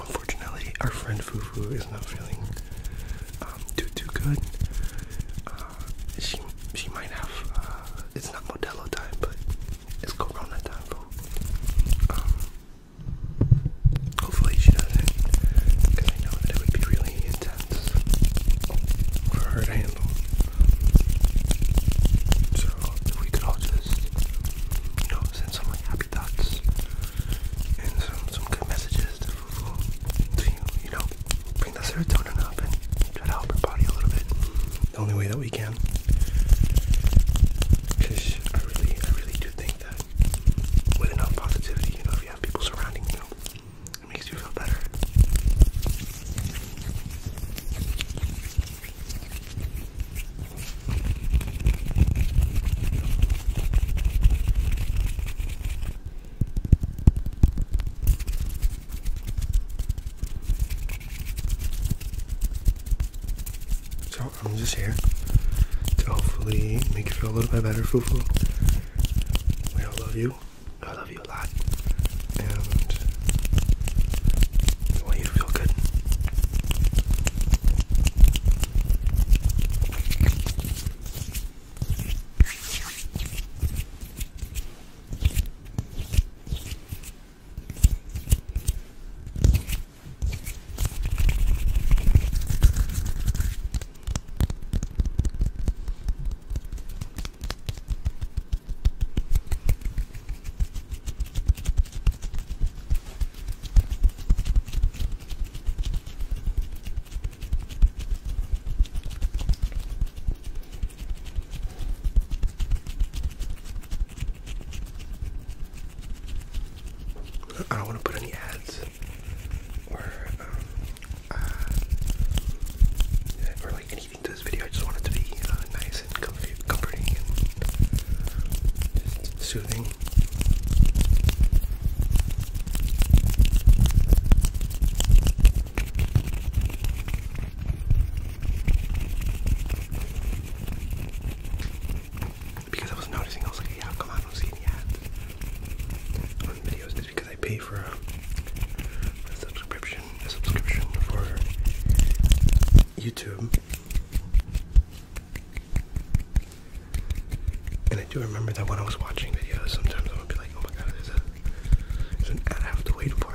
Unfortunately, our friend Fufu is not feeling um, too too good. Uh, she she might have. Uh, it's not Modelo time, but it's Corona time, though. Um, hopefully she doesn't, because I know that it would be really intense for her to handle. So we could all just, you know, send so many happy thoughts and some some good messages to you. You know, bring the serotonin up and try to help your body a little bit. The only way that we can. Because I really, I really do think that with enough positivity, you know, if you have people surrounding you, it makes you feel better. So I'm just here to hopefully make you feel a little bit better, Fufu. We all love you. I love you a lot. I want you to feel good. Good. I don't want to put any ads or um, uh, or like anything this video. I just want it to be uh, nice and comfy, comforting and soothing. Because I was noticing, I was like, yeah, how come I don't ads on videos? It's because I pay for a subscription a subscription for YouTube. And I do remember that when I was watching videos, sometimes I would be like, oh my god, there's, a, an ad I have to wait for.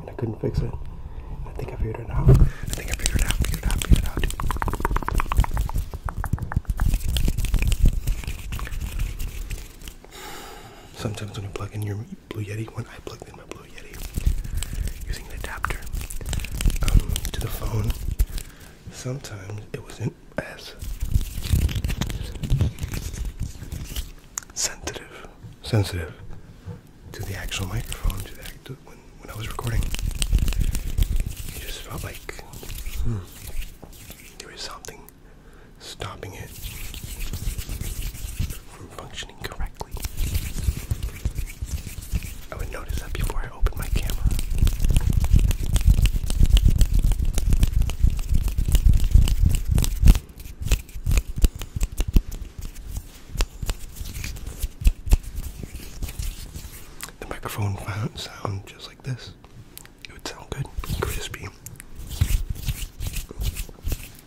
and I couldn't fix it. I think I figured it out. I think I figured it out, figured it out, figured it out. Sometimes when you plug in your Blue Yeti, when I plugged in my Blue Yeti using the adapter um, to the phone, sometimes it wasn't as sensitive, sensitive to the actual microphone. To the to when I was recording, it just felt like hmm, there was something stopping it from functioning correctly. I would notice that before I opened my camera. The microphone would sound just like this. It would sound good, crispy,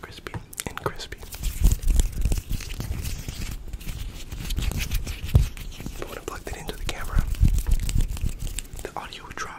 crispy and crispy. But I plugged it into the camera, the audio would drop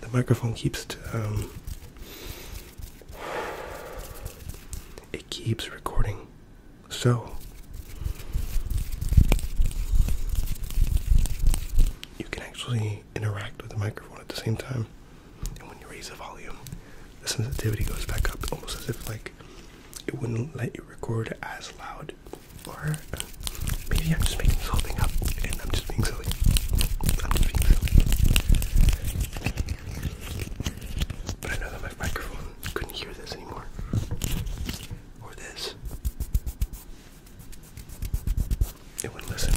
the microphone keeps um, it keeps recording. So you can actually interact with the microphone at the same time. And when you raise the volume, the sensitivity goes back up almost as if like it wouldn't let you record as loud or maybe I'm just making this whole thing up and I'm just being silly. I'm just being silly. But I know that my microphone couldn't hear this anymore. Or this. It wouldn't listen.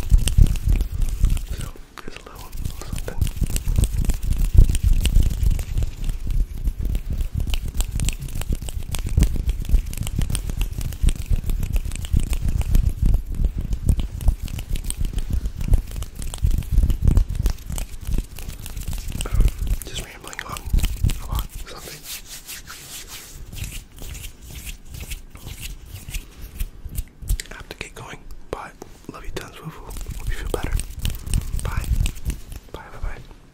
So there's a little something. Just rambling on about something. have to get going, but love you tons, woo Hope you feel better. Bye. Bye, bye, bye.